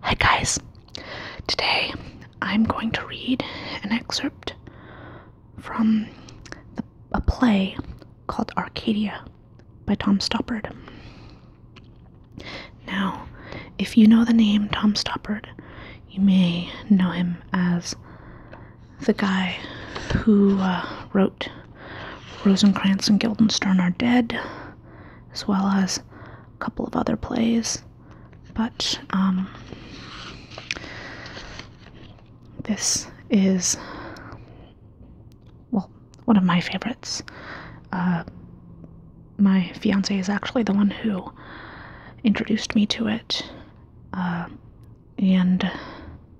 Hi guys! Today I'm going to read an excerpt from a play called Arcadia by Tom Stoppard. Now, if you know the name Tom Stoppard, you may know him as the guy who uh, wrote Rosencrantz and Guildenstern Are Dead, as well as a couple of other plays. But um, this is, well, one of my favorites. Uh, my fiance is actually the one who introduced me to it. Uh, and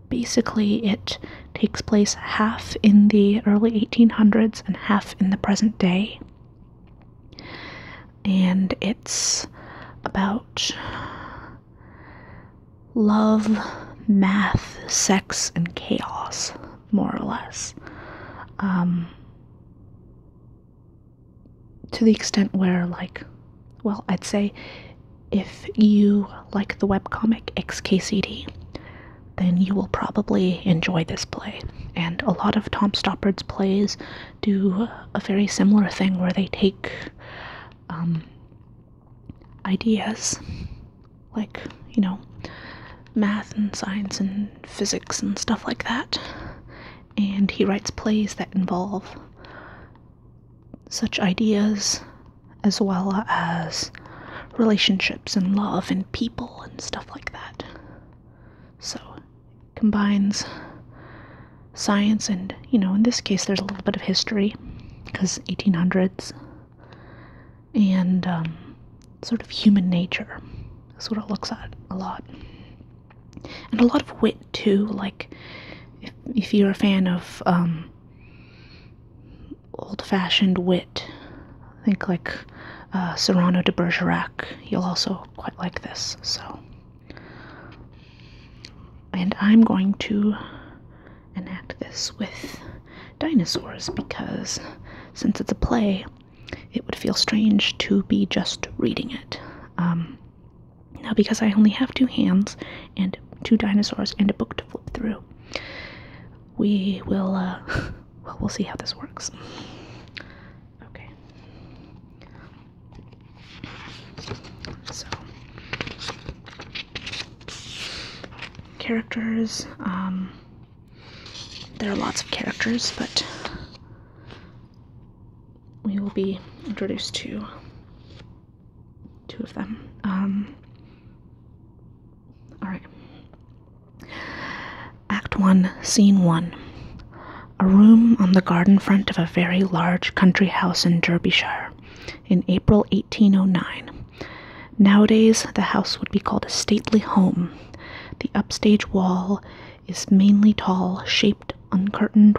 basically, it takes place half in the early 1800s and half in the present day. And it's about love, math, sex, and chaos, more or less. Um, to the extent where, like, well, I'd say if you like the webcomic XKCD, then you will probably enjoy this play. And a lot of Tom Stoppard's plays do a very similar thing where they take um, ideas like, you know, math and science and physics and stuff like that. And he writes plays that involve such ideas as well as relationships and love and people and stuff like that. So it combines science and, you know, in this case, there's a little bit of history because 1800s and um, sort of human nature. That's what it looks at a lot. And a lot of wit too, like if, you're a fan of um, old fashioned wit. I think like uh, Serrano de Bergerac, you'll also quite like this. So, and I'm going to enact this with dinosaurs because since it's a play, it would feel strange to be just reading it. Um, now, because I only have two hands and two dinosaurs and a book to flip through, we will uh, well we'll see how this works okay so characters um, there are lots of characters but we will be introduced to two of them. Um, all right. Act 1, Scene 1. A room on the garden front of a very large country house in Derbyshire in April 1809. Nowadays, the house would be called a stately home. The upstage wall is mainly tall, shaped, uncurtained,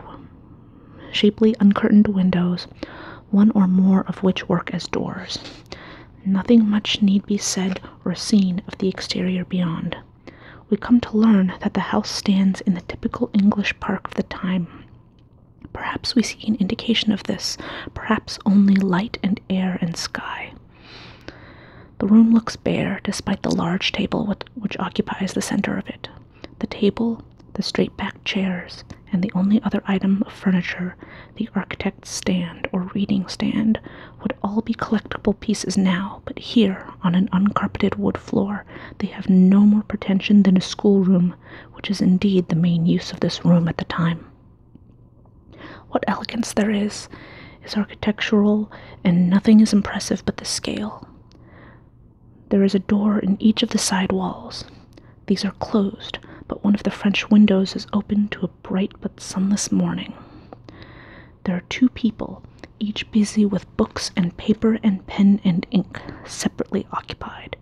shapely uncurtained windows, one or more of which work as doors. Nothing much need be said or seen of the exterior beyond. We come to learn that the house stands in the typical English park of the time. Perhaps we see an indication of this, perhaps only light and air and sky. The room looks bare despite the large table which occupies the center of it. The table the straight backed chairs, and the only other item of furniture, the architect's stand or reading stand, would all be collectible pieces now, but here, on an uncarpeted wood floor, they have no more pretension than a schoolroom, which is indeed the main use of this room at the time. What elegance there is, is architectural, and nothing is impressive but the scale. There is a door in each of the side walls. These are closed, but one of the French windows is open to a bright but sunless morning. There are two people, each busy with books and paper and pen and ink, separately occupied.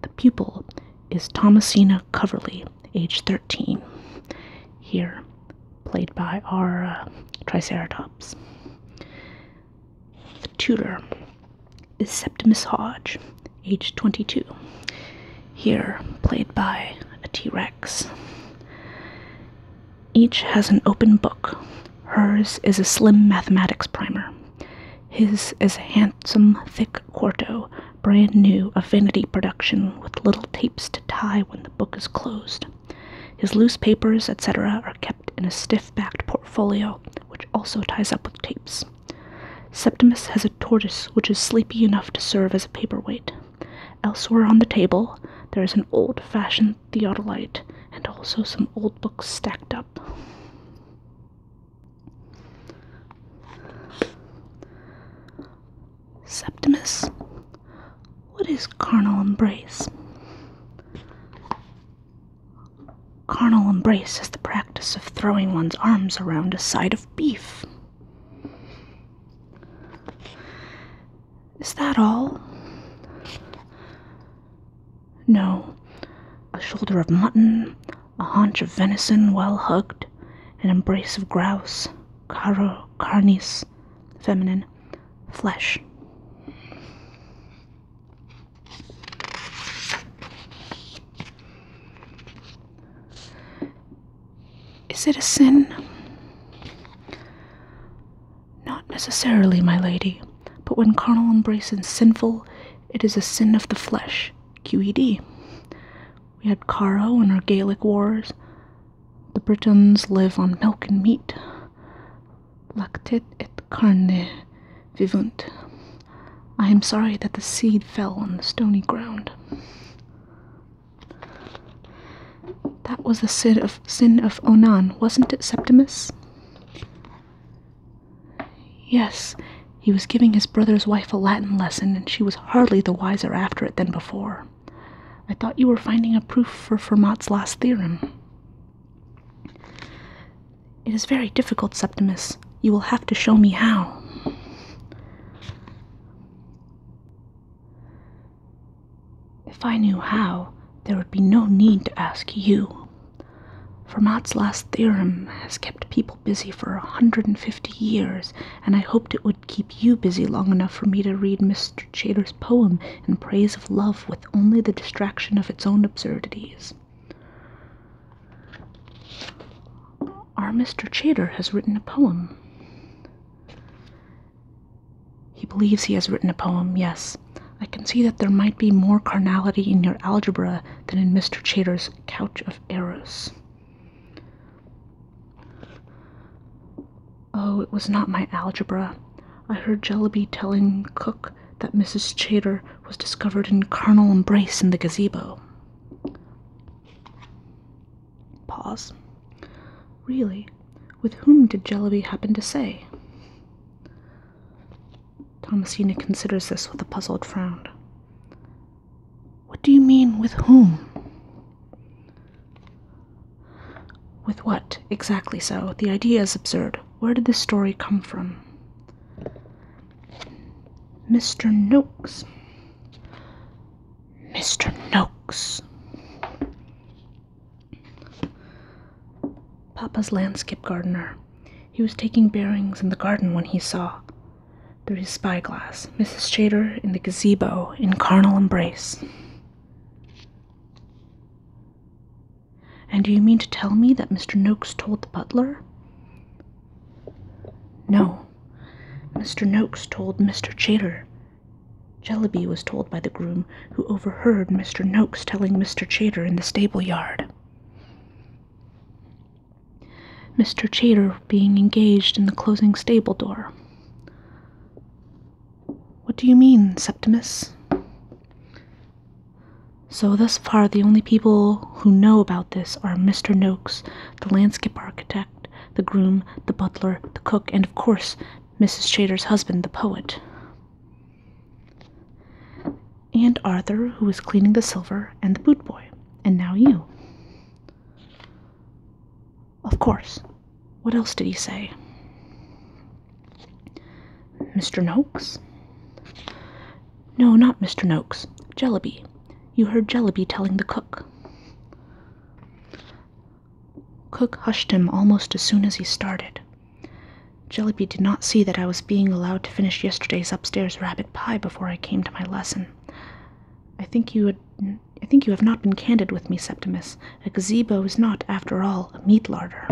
The pupil is Thomasina Coverley, age 13, here, played by our uh, Triceratops. The tutor is Septimus Hodge, aged 22, here played by a T Rex. Each has an open book. Hers is a slim mathematics primer. His is a handsome, thick quarto, brand new, a vanity production with little tapes to tie when the book is closed. His loose papers, etc., are kept in a stiff backed portfolio, which also ties up with tapes. Septimus has a tortoise which is sleepy enough to serve as a paperweight. Elsewhere on the table, there is an old fashioned theodolite and also some old books stacked up. Septimus, what is carnal embrace? Carnal embrace is the practice of throwing one's arms around a side of beef. Is that all? No. A shoulder of mutton, a haunch of venison well hugged, an embrace of grouse, caro, carnis, feminine, flesh. Is it a sin? Not necessarily, my lady, but when carnal embrace is sinful, it is a sin of the flesh, QED. We had Caro in our Gaelic wars. The Britons live on milk and meat lactet et carne vivunt. I am sorry that the seed fell on the stony ground. That was the sin of sin of Onan, wasn't it, Septimus? Yes, he was giving his brother's wife a Latin lesson, and she was hardly the wiser after it than before. I thought you were finding a proof for Fermat's last theorem. It is very difficult, Septimus. You will have to show me how. If I knew how, there would be no need to ask you. Fermat's last theorem has kept people busy for a 150 years, and I hoped it would keep you busy long enough for me to read Mr. Chater's poem in praise of love with only the distraction of its own absurdities. Our Mr. Chater has written a poem. He believes he has written a poem, yes. I can see that there might be more carnality in your algebra than in Mr. Chater's couch of errors. Oh, it was not my algebra. I heard Jellyby telling Cook that Mrs. Chater was discovered in carnal embrace in the gazebo. Pause. Really? With whom did Jellyby happen to say? Thomasina considers this with a puzzled frown. What do you mean, with whom? With what? Exactly so. The idea is absurd. Where did this story come from? Mr. Noakes. Mr. Noakes. Papa's landscape gardener. He was taking bearings in the garden when he saw, through his spyglass, Mrs. Chater in the gazebo in carnal embrace. And do you mean to tell me that Mr. Noakes told the butler? No. Mr. Noakes told Mr. Chater. Jellyby was told by the groom, who overheard Mr. Noakes telling Mr. Chater in the stable yard. Mr. Chater being engaged in the closing stable door. What do you mean, Septimus? So, thus far, the only people who know about this are Mr. Noakes, the landscape architect, the groom, the butler, the cook, and of course, Mrs. Shader's husband, the poet. And Arthur, who was cleaning the silver, and the boot boy, and now you. Of course. What else did he say? Mr. Noakes? No, not Mr. Noakes. Jellyby. You heard Jellyby telling the cook. Cook hushed him almost as soon as he started. Jellyby did not see that I was being allowed to finish yesterday's upstairs rabbit pie before I came to my lesson. I think you had, I think you have not been candid with me, Septimus, a gazebo is not, after all, a meat larder.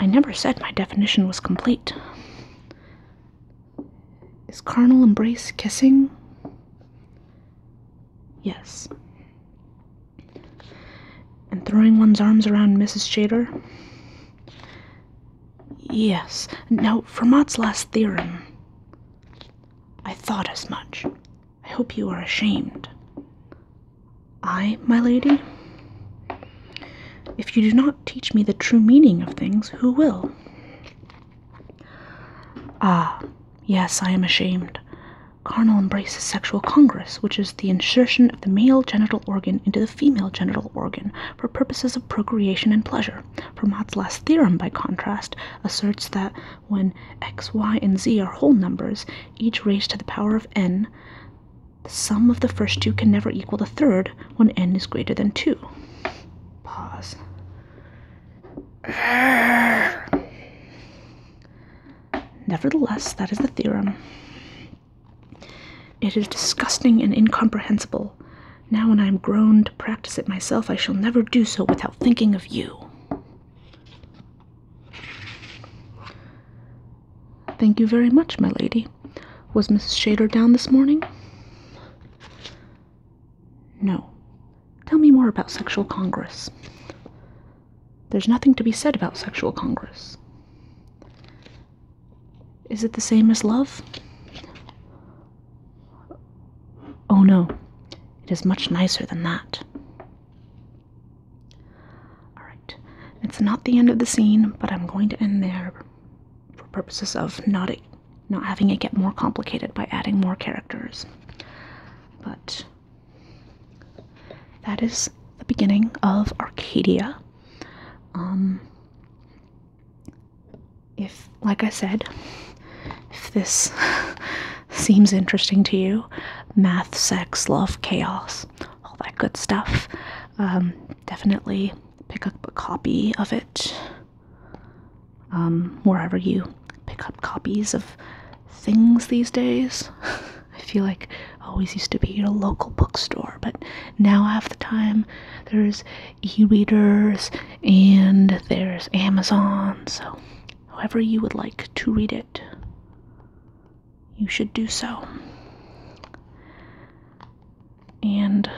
I never said my definition was complete. Is carnal embrace kissing? Yes. And throwing one's arms around Mrs. Shader? Yes. Now, Fermat's last theorem. I thought as much. I hope you are ashamed. I, my lady? If you do not teach me the true meaning of things, who will? Ah, yes, I am ashamed. Carnal embrace is sexual congress, which is the insertion of the male genital organ into the female genital organ for purposes of procreation and pleasure. Fermat's last theorem, by contrast, asserts that when x, y, and z are whole numbers, each raised to the power of n, the sum of the first two can never equal the third when n is greater than 2. Pause. Nevertheless, that is the theorem. It is disgusting and incomprehensible. Now, when I am grown to practice it myself, I shall never do so without thinking of you. Thank you very much, my lady. Was Mrs. Shader down this morning? No. Tell me more about Sexual Congress. There's nothing to be said about Sexual Congress. Is it the same as love? Oh no, it is much nicer than that. Alright, it's not the end of the scene, but I'm going to end there for purposes of not, not having it get more complicated by adding more characters. But that is the beginning of Arcadia. Um, if like I said, if this seems interesting to you, math, sex, love, chaos, all that good stuff, um, definitely pick up a copy of it um, wherever you pick up copies of things these days. I feel like I always used to be at a local bookstore, but now half the time there's e readers and there's Amazon, so however you would like to read it, you should do so. And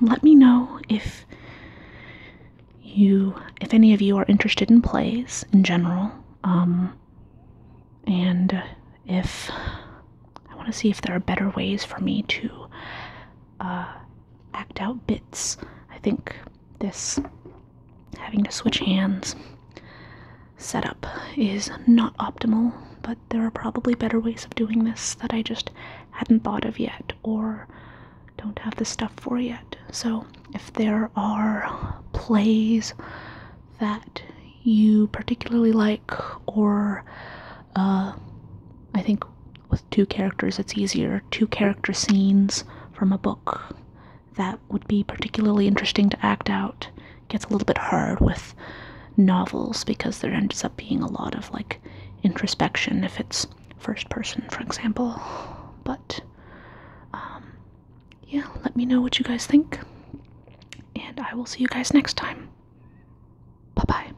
let me know if you, if any of you are interested in plays in general, um, and if I want to see if there are better ways for me to uh, act out bits. I think this having to switch hands setup is not optimal, but there are probably better ways of doing this that I just hadn't thought of yet or don't have the stuff for yet. So if there are plays that you particularly like or uh, I think with two characters, it's easier. Two character scenes from a book that would be particularly interesting to act out gets a little bit hard with novels because there ends up being a lot of like introspection if it's first person, for example. But um, yeah, let me know what you guys think, and I will see you guys next time. Bye bye.